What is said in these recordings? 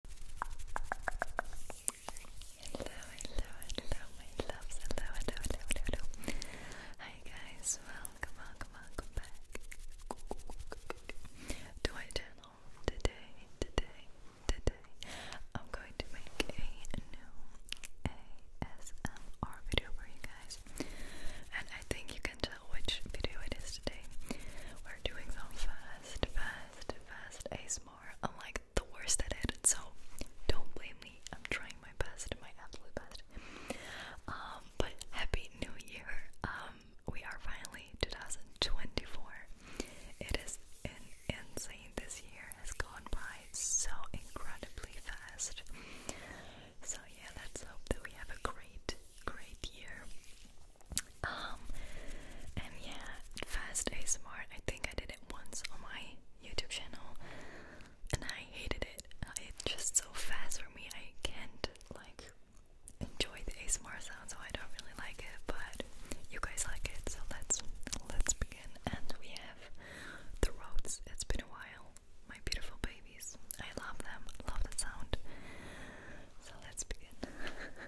Hello, hello, hello, my loves. Hello, hello, hello, Hi, guys. Welcome, welcome, welcome back to my channel. Today, today, today, I'm going to make a new ASMR video for you guys. And I think you can tell which video it is today. We're doing fast, fast, fast ASMR. I'm like the worst at it, so don't blame me. I'm trying my best, my absolute best. Um, but happy new year. Um, we are finally 2024. It is an insane. This year has gone by so incredibly fast. So yeah, let's hope that we have a great, great year. Um, and yeah, fast ASMR, I think I did it once on my YouTube channel and I hated it. Uh, it's just so fast for me, I can't like enjoy the ASMR sound, so I don't really like it, but you guys like it, so let's let's begin. And we have the roads, it's been a while. My beautiful babies. I love them, love the sound. So let's begin.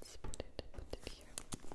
Let's put it, put it here. Let's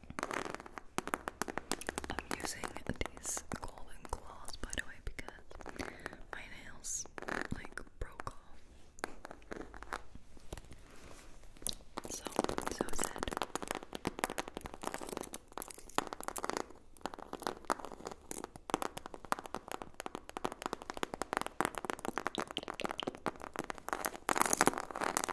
I'm using these golden claws by the way because my nails like broke off. So so sad.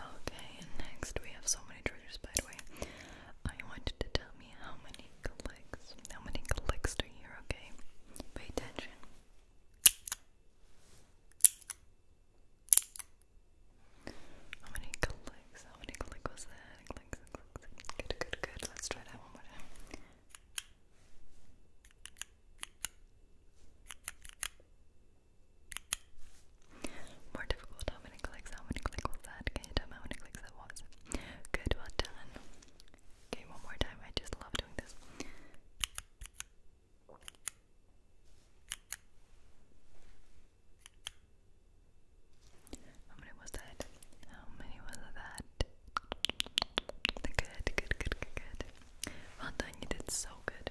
Okay, next we have so many triggers by the way. I want to tell me how many clicks, how many clicks do you hear, okay? Pay attention. How many clicks? How many click was that? Clicks, clicks. Good, good, good. Let's try that one more time. More difficult. How many clicks? How many clicks was that? Can you tell me how many clicks that was? Good, well done. Okay, one more time. I just love doing this. How many was that? How many was that? Good, good, good, good, good. Well did so Good,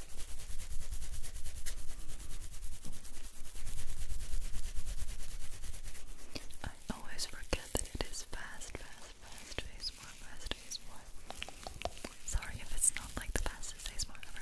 I always forget that it is fast, fast, fast ASMR, fast ASMR. Sorry if it's not like the fastest ASMR ever.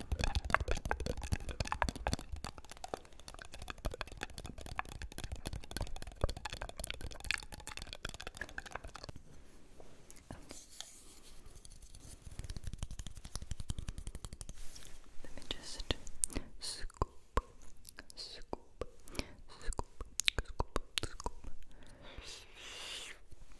Let me just scoop, scoop, scoop, scoop, scoop.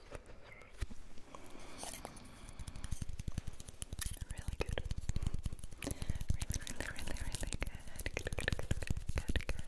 Really good. Really, really, really, really good. Good, good, good, good, good. Good.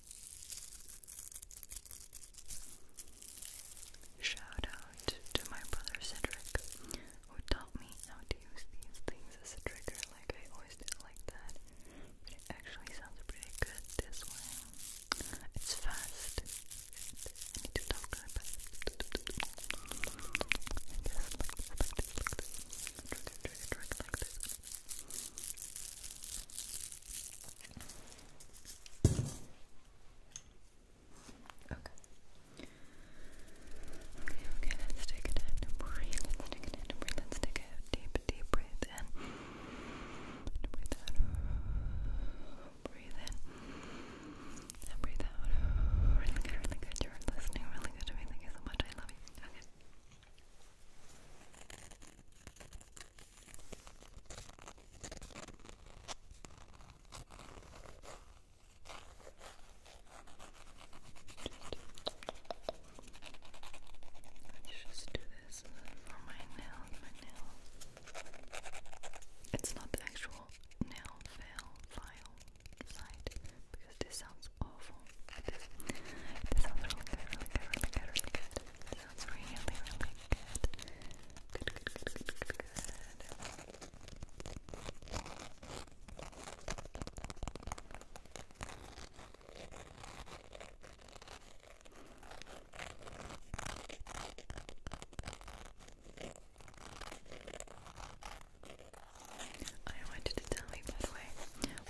Shout out to my brother Cedric, who taught me how to use these things as a trigger, like I always did like that. But it actually sounds pretty good this way. It's fast. need to talk really this. Okay. Okay, let's take it in and Let's take it in and Let's take a deep, deep breath in. breathe in. breathe out. Really good, really good. You're listening really good to me. Thank you so much. I love you. Okay. Let's just do this for my nails, my nails. It's not the actual nail file file side because this sounds sounds awful. It does. really really really really good. It really, really good, good, good, good. Good, I wanted to tell you, by the way,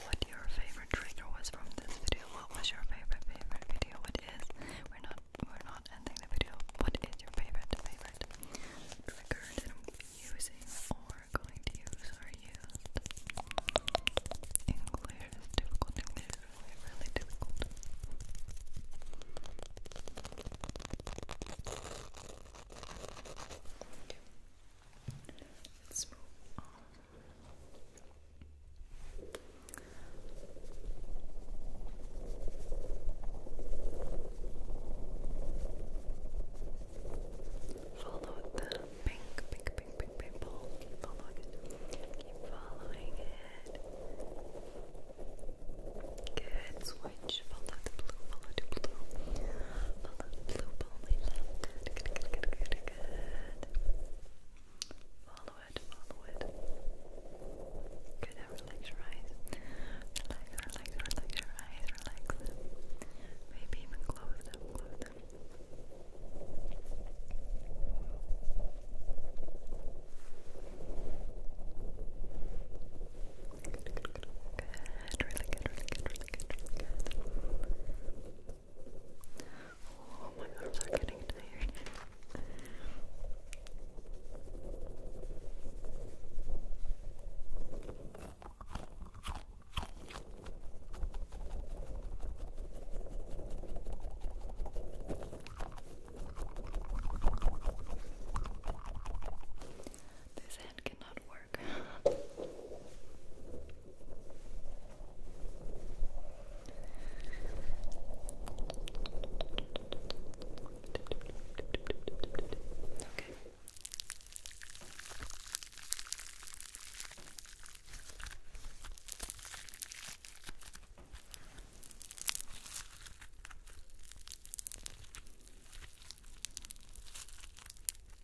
what your favorite trigger was from this video. What was your favorite favorite video? What is? We're not we're not ending the video. What is your favorite favorite trigger that I'm using or going to use or used? English is difficult. English is really difficult. Let's move on Follow the pink, pink, pink, pink, pink ball. following it. following it. Good. Switch. Follow the blue. Follow the blue. Blue Palomino. Good, good, good, good, good, good. Follow it, follow it. Good, relax your eyes. Relax, relax, relax your eyes, relax Maybe even close them, close them. good. Really good, really good, really good, really good. Oh my god, i getting tired. This hand cannot work work. okay. Okay.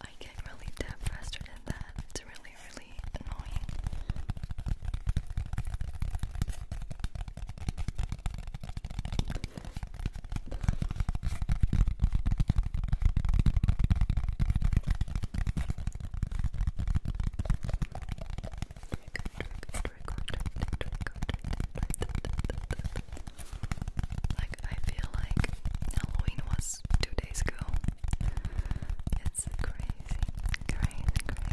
I get really deaf faster than that. It's really, really annoying. Like I feel like Halloween was two days ago. It's crazy, crazy, crazy.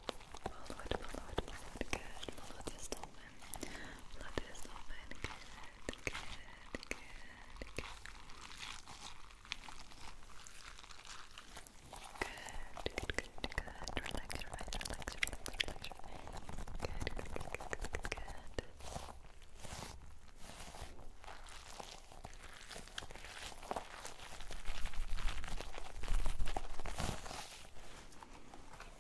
Follow it, follow it, follow it, good. Follow this dolphin. Follow this dolphin, good, good, good, good. Good, good, good, good. Relax, relax, relax, relax, relax. Good, good, good, good, good, good. Good,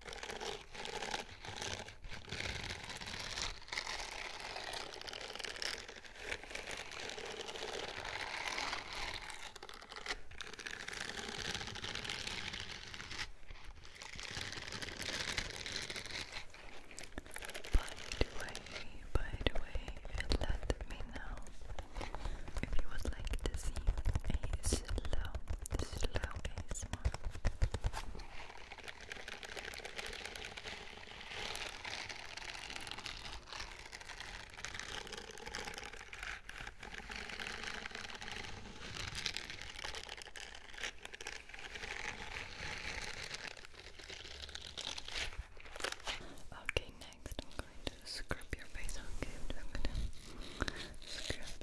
the way, by the way, let me know if you would like to see a slow, slow ASMR. Okay, next I'm going to scrub your face. Okay, I'm gonna scrub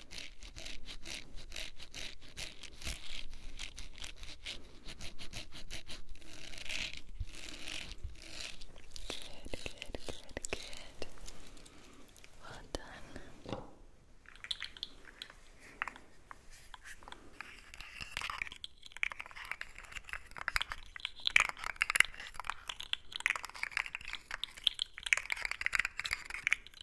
good, good, good. Well done.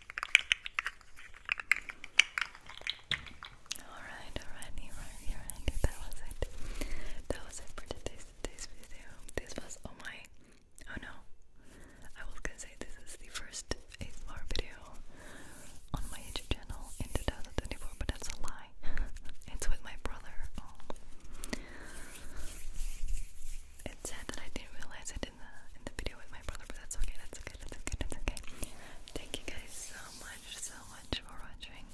Alright, alright, alright, alright, that was it. That was it for today's, video. This was, oh my, oh no. I was gonna say this is the first ASMR video on my YouTube channel in 2024, but that's a lie. it's with my brother. Oh. It's sad that I didn't realize I in the in the video with my brother, but that's okay, that's okay, that's okay, that's okay. Thank you guys so much, so much for watching.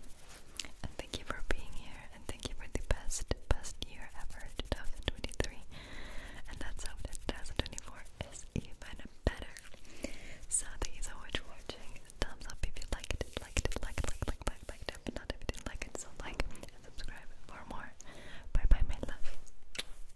And thank you for being here and thank you for the best, best year ever, 2023. And let's hope that 2024 is even better. So thank you so much for watching. Thumbs up if you liked it, liked it, liked it, liked it, liked it, liked it, liked it. But not if you didn't like it, so like and subscribe for more. Bye bye my love.